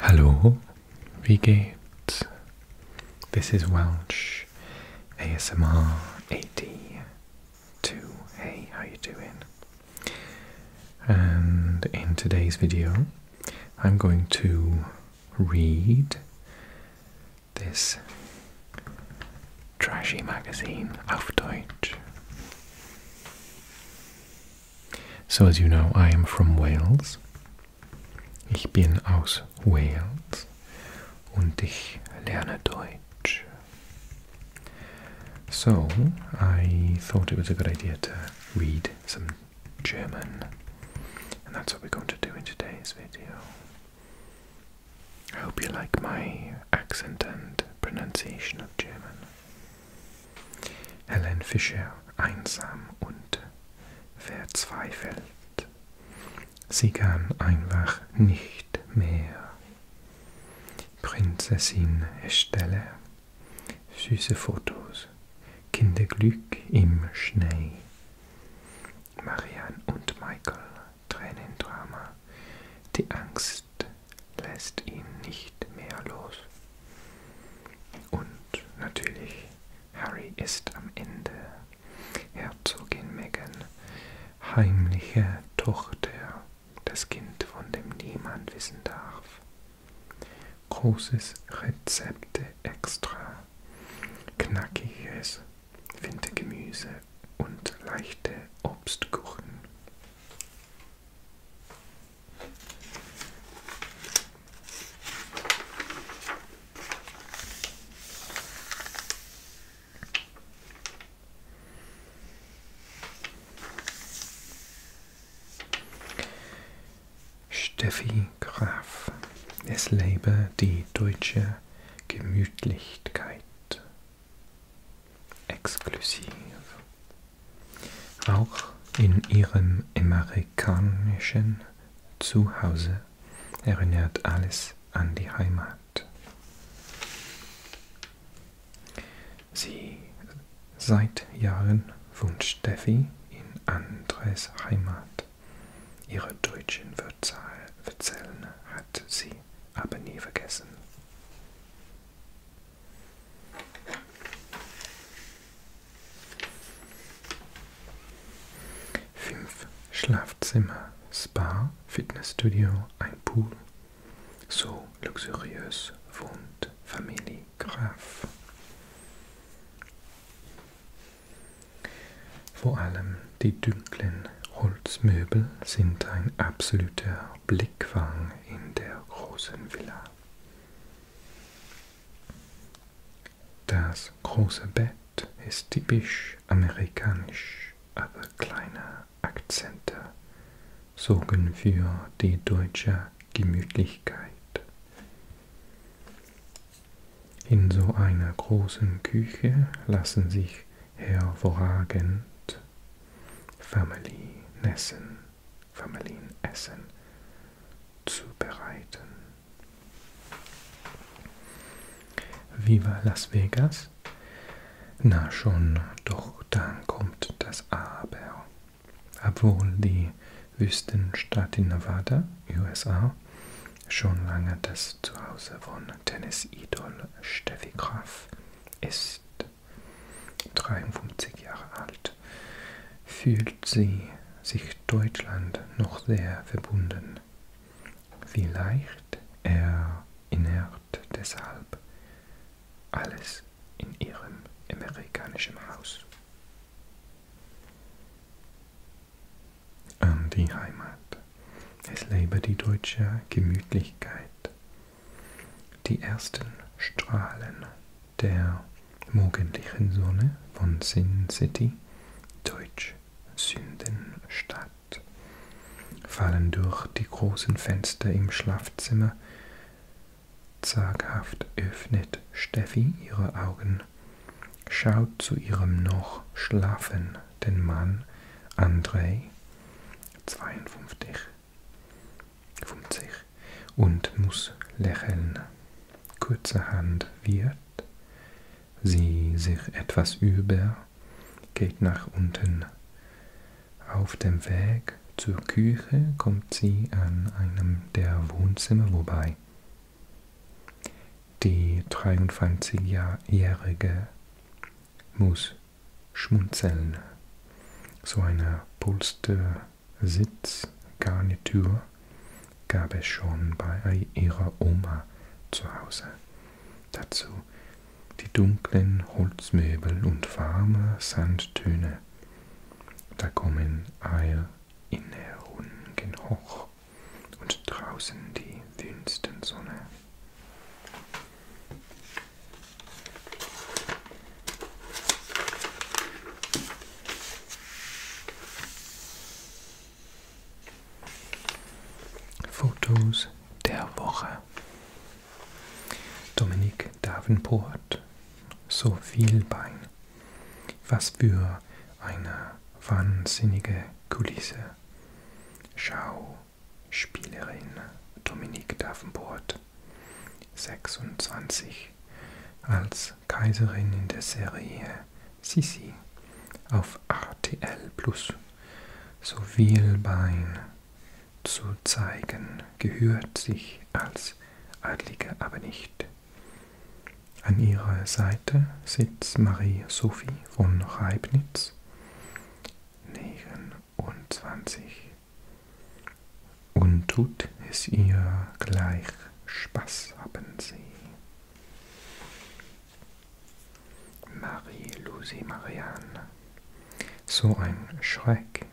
Hello, wie This is Welsh ASMR AD Two. Hey, how you doing? And in today's video, I'm going to read this trashy magazine auf Deutsch. So, as you know, I am from Wales. Ich bin aus Wales und ich lerne Deutsch. So, I thought it was a good idea to read some German, and that's what we're going to do in today's video. I hope you like my accent and pronunciation of German. Helen Fischer einsam und verzweifelt. Sie kann einfach nicht mehr. Prinzessin Estelle. Süße Fotos. Kinderglück im Schnee. Marianne und Michael. Tränendrama. Die Angst lässt ihn nicht mehr los. Und natürlich, Harry ist am Ende. Herzogin Meghan, heimliche Tochter, das Kind, von dem niemand wissen darf. Großes Rezepte extra, knackiges Wintergemüse und leichte Obstkuchen. Steffi Graf. Es lebe die deutsche Gemütlichkeit exklusiv. Auch in ihrem amerikanischen Zuhause erinnert alles an die Heimat. Sie seit Jahren wohnt Steffi in Andres Heimat. Ihre deutschen Wurzeln hat sie aber nie vergessen. Fünf Schlafzimmer, Spa, Fitnessstudio, ein Pool. So luxuriös wohnt Familie Graf. Vor allem die dunklen Holzmöbel sind ein absoluter Blickfang in der großen Villa. Das große Bett ist typisch amerikanisch, aber kleine Akzente sorgen für die deutsche Gemütlichkeit. In so einer großen Küche lassen sich hervorragend Familienessen, Familienessen zubereiten. Viva Las Vegas? Na schon, doch dann kommt das Aber. Obwohl die Wüstenstadt in Nevada, USA, schon lange das Zuhause von Tennis-Idol Steffi Graf ist 53 Jahre alt, fühlt sie sich Deutschland noch sehr verbunden. Vielleicht erinnert deshalb alles in ihrem amerikanischen Haus an die Heimat. Es lebe die deutsche Gemütlichkeit. Die ersten Strahlen der morgendlichen Sonne von Sin City, Deutsch Sündenstadt, fallen durch die großen Fenster im Schlafzimmer. Zaghaft öffnet Steffi ihre Augen, schaut zu ihrem noch schlafenden Mann Andrei 52, 50 und muss lächeln. Kurzerhand wird sie sich etwas über, geht nach unten. Auf dem Weg zur Küche kommt sie an einem der Wohnzimmer vorbei. Die 23-Jährige muss schmunzeln. So eine Polstersitzgarnitur gab es schon bei ihrer Oma zu Hause. Dazu die dunklen Holzmöbel und warme Sandtöne. Da kommen Eier in Herungen hoch und draußen die Wüstensonne. Fotos der Woche. Dominik Davenport, so viel Bein. Was für eine wahnsinnige Kulisse. Schauspielerin Dominique Davenport, 26, als Kaiserin in der Serie Sisi auf RTL Plus sowie Bein zu zeigen, gehört sich als Adlige aber nicht. An ihrer Seite sitzt Marie-Sophie von Reibnitz, 6, 29. Und tut es ihr gleich Spaß haben sie. Marie-Louise Marianne. So ein Schreck.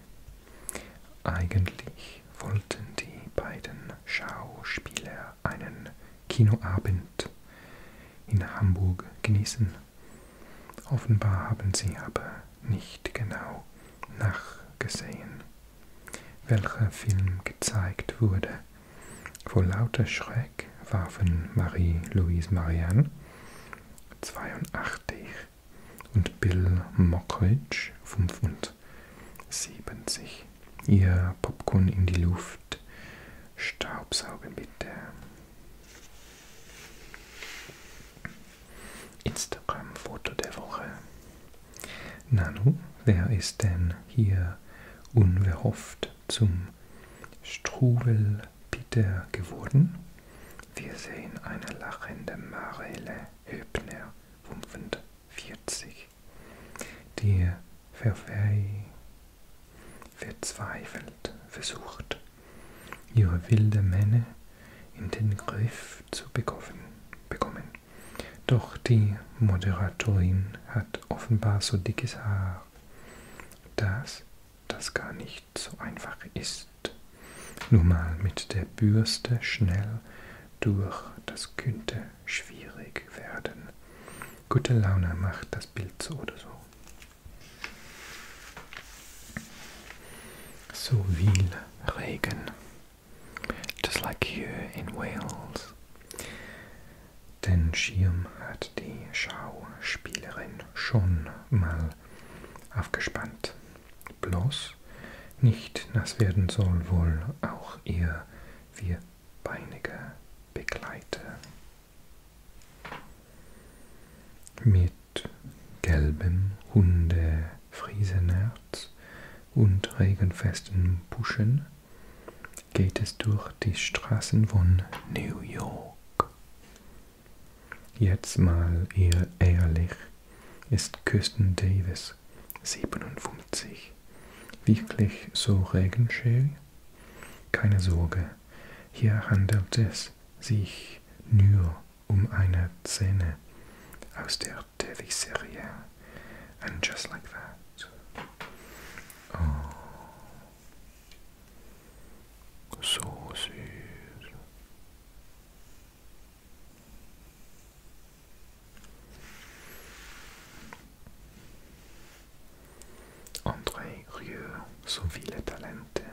Eigentlich wollten die beiden Schauspieler einen Kinoabend in Hamburg genießen. Offenbar haben sie aber nicht genau nachgesehen, welcher Film gezeigt wurde. Vor lauter Schreck warfen Marie-Louise Marianne 82 und Bill Mockridge 75 ihr Popcorn in die Luft Staubsaugen bitte. Instagram-Foto der Woche. Nanu, wer ist denn hier unverhofft zum Struwelpeter geworden? Wir sehen eine lachende Marele Höbner, 45 die verzweifelt versucht, ihre wilde Männer in den Griff zu bekommen. Doch die Moderatorin hat offenbar so dickes Haar, dass das gar nicht so einfach ist. Nur mal mit der Bürste schnell durch, das könnte schwierig werden gute Laune macht das Bild so oder so. So viel Regen. Just like here in Wales. Den Schirm hat die Schauspielerin schon mal aufgespannt. Bloß nicht nass werden soll wohl auch ihr wir Einbeinige begleite. Mit gelbem Hundefriesenerz und regenfesten Buschen geht es durch die Straßen von New York. Jetzt mal eher ehrlich ist Kirsten Davis 57 sich. Wirklich so regenschön? Keine Sorge, hier handelt es sich nur um eine Szene aus der Teleserie. And just like that. Oh. So süß. André Rieu, so viele Talente.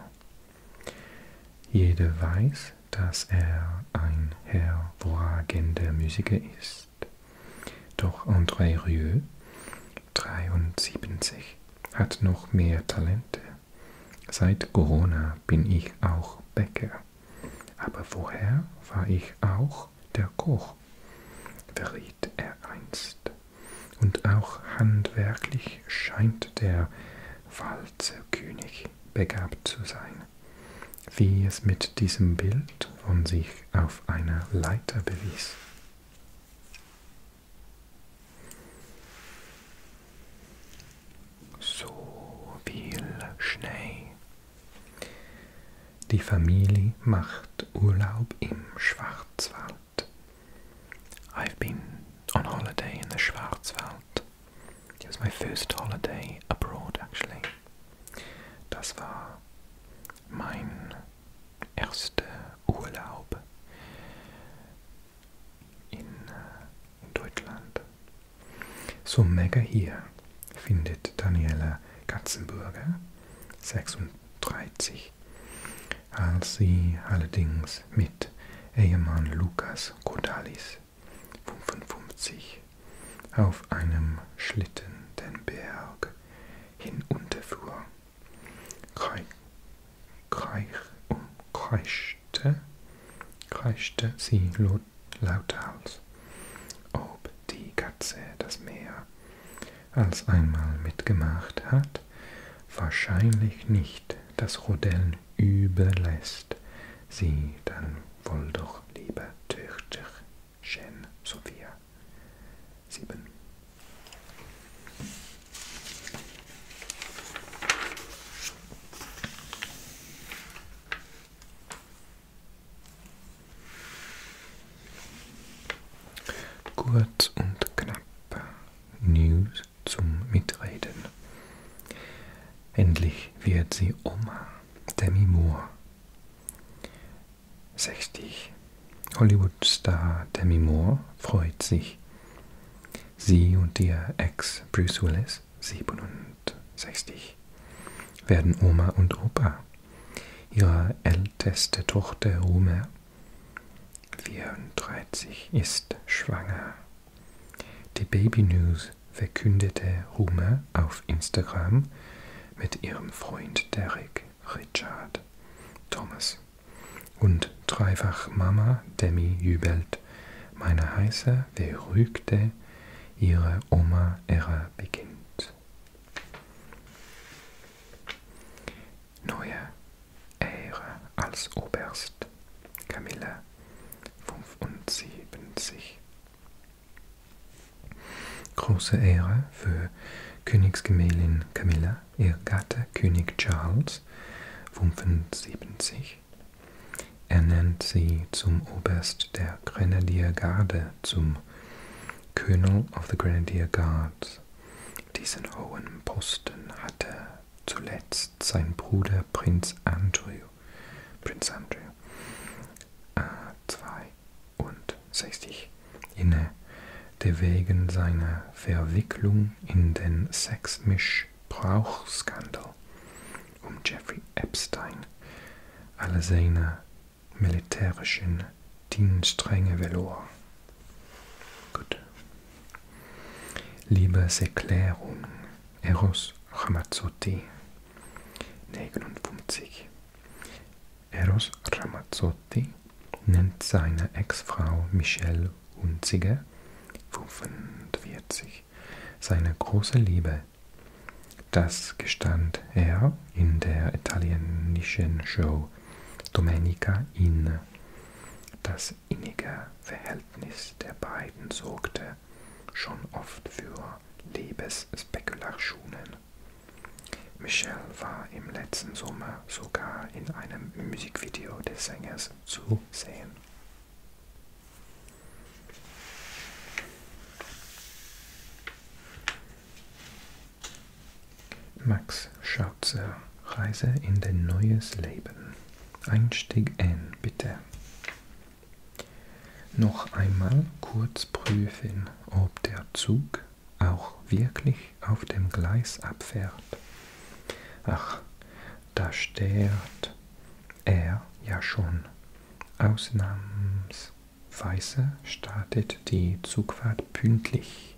Jeder weiß, dass er ein hervorragender Musiker ist. Doch André Rieu, 73, hat noch mehr Talente. Seit Corona bin ich auch Bäcker. Aber woher war ich auch der Koch? verriet er einst. Und auch handwerklich scheint der Walzerkönig begabt zu sein. Wie es mit diesem Bild von sich auf einer Leiter bewies. So viel Schnee die Familie macht Urlaub im Schwarzwald. I've been on holiday in the Schwarzwald. It was my first holiday abroad actually. Das war mein erster Urlaub in, äh, in Deutschland. So mega hier findet Daniela Katzenburger 36, als sie allerdings mit Ehemann Lukas Kodalis 55 auf einem Schlitten den Berg hinunterfuhr, kreich, kreich, um kreischte, kreischte sie laut Lauthals, ob die Katze das Meer als einmal mitgemacht hat, wahrscheinlich nicht das Rodell überlässt, sie dann wohl doch lieber Töchterchen Sophia. 7. Kurz und knapp News zum Mitreden. Endlich wird sie Oma, Demi Moore. 60. Hollywood-Star Demi Moore freut sich. Sie und ihr Ex Bruce Willis bis 67 werden Oma und Opa, ihre älteste Tochter Rume, 34 ist schwanger. Die Baby News verkündete Rume auf Instagram mit ihrem Freund Derek Richard Thomas und dreifach Mama Demi jubelt, meine heiße beruhigte ihre Oma Ära beginnt. Neue Ära als Oberst Camilla 75 Große Ehre für Königsgemählin Camilla, ihr Gatte König Charles 75 ernennt sie zum Oberst der Grenadiergarde, zum Colonel of the Grenadier Guards. Diesen hohen Posten hatte zuletzt sein Bruder Prinz Andrew, Prinz Andrew, äh, 62 inne, der wegen seiner Verwicklung in den Sexmisch Missbrauchsskandal um Jeffrey Epstein alle seine militärischen Dienstränge verlor. Gut. Liebeserklärung Eros Ramazzotti 59 Eros Ramazzotti nennt seine Ex-Frau Michelle Hunziger 45 durch seine große Liebe. Das gestand er in der italienischen Show Domenica in. Das innige Verhältnis der beiden sorgte schon oft für Liebesspekulationen. Michelle war im letzten Sommer sogar in einem Musikvideo des Sängers zu sehen. Max Schautzer Reise in dein neues Leben. Einstieg N, bitte. Noch einmal kurz prüfen, ob der Zug auch wirklich auf dem Gleis abfährt. Ach, da steht er ja schon. Ausnahmsweise startet die Zugfahrt pünktlich.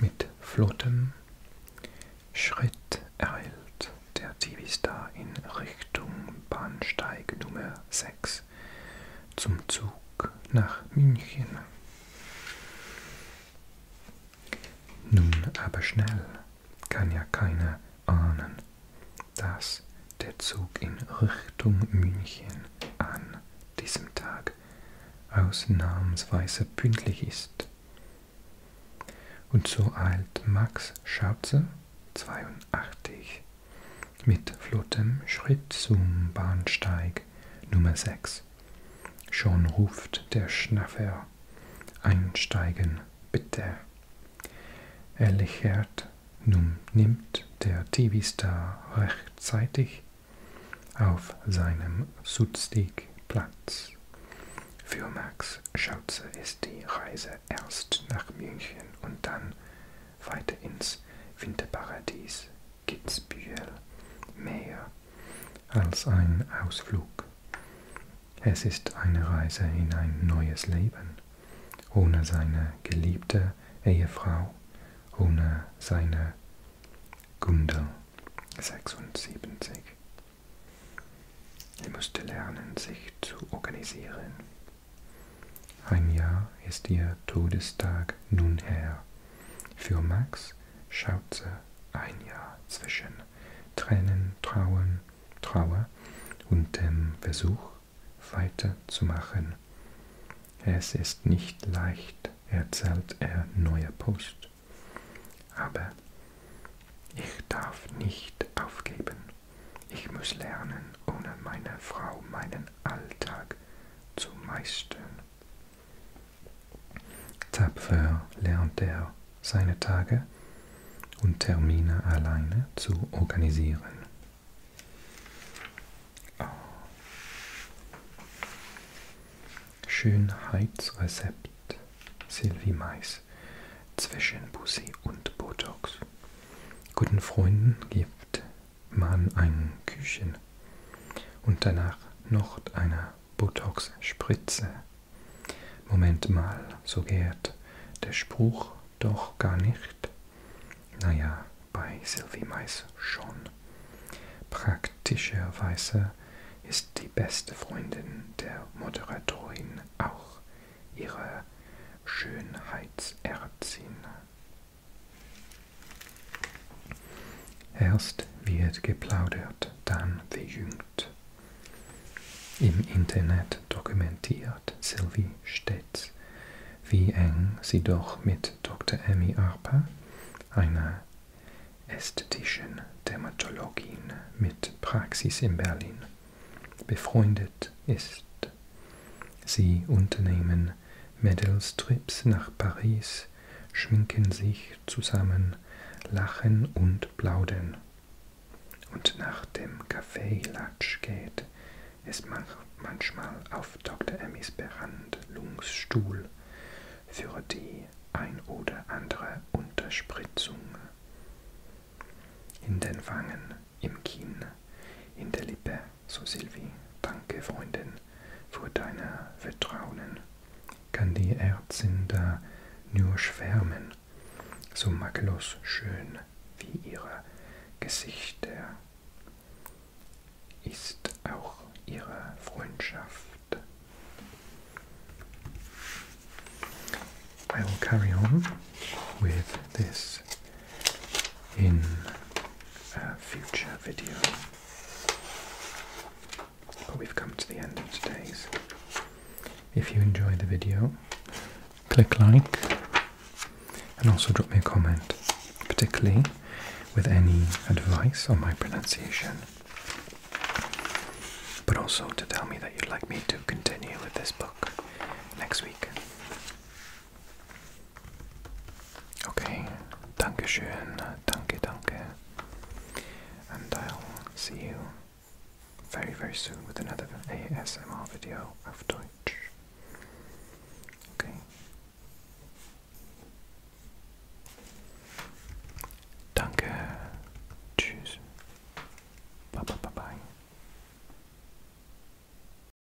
Mit flottem Schritt ereilt der Divistar in Richtung Bahnsteig Nummer 6 zum Zug nach München. Nun aber schnell kann ja keiner ahnen, dass der Zug in Richtung München an diesem Tag ausnahmsweise pünktlich ist. Und so eilt Max Schautze 82 mit flottem Schritt zum Bahnsteig Nummer 6 Schon ruft der Schnaffer, einsteigen, bitte. Er lächelt, nun nimmt der TV-Star rechtzeitig auf seinem Sutzig Platz. Für Max Schauze ist die Reise erst nach München und dann weiter ins Winterparadies Kitzbühel mehr als ein Ausflug. Es ist eine Reise in ein neues Leben, ohne seine geliebte Ehefrau, ohne seine Gundel 76. Er musste lernen, sich zu organisieren. Ein Jahr ist ihr Todestag nun her. Für Max schaute ein Jahr zwischen Tränen, Trauen, Trauer und dem Versuch weiterzumachen. Es ist nicht leicht, erzählt er neuer Post. Aber ich darf nicht aufgeben. Ich muss lernen, ohne meine Frau meinen Alltag zu meistern. Tapfer lernt er seine Tage und Termine alleine zu organisieren. Ah. Schönheitsrezept Sylvie Mais zwischen Bussi und Botox. Guten Freunden gibt man ein Küchen und danach noch eine Botox-Spritze. Moment mal, so geht der Spruch doch gar nicht. Naja, bei Sylvie Mais schon. Praktischerweise ist die beste Freundin der Moderatorin auch ihre Schönheitsärztin. Erst wird geplaudert, dann gejüngt. Im Internet dokumentiert Sylvie stets, wie eng sie doch mit Dr. Emmy Arpa, einer ästhetischen Dermatologin mit Praxis in Berlin, befreundet ist. Sie unternehmen Medelstrips nach Paris, schminken sich zusammen, lachen und plaudern. Und nach dem Kaffee-Latsch geht es manchmal auf Dr. Emmys Behandlungsstuhl für die ein oder andere Unterspritzung in den Wangen, im Kinn, in der Lippe. So Silvi, danke Freundin für deine Vertrauen. Kann die Ärztin da nur schwärmen, so makellos schön wie ihre Gesichter ist auch ihre Freundschaft. I will carry on with this in a future video. But we've come to the end of today's. If you enjoy the video, click like and also drop me a comment, particularly with any advice on my pronunciation. But also to tell me that you'd like me to continue with this book next week. Okay, Dankeschön, danke, danke. And I'll see you very, very soon with another ASMR video of Deutsch. Okay. Danke. Tschüss. Bye bye bye bye.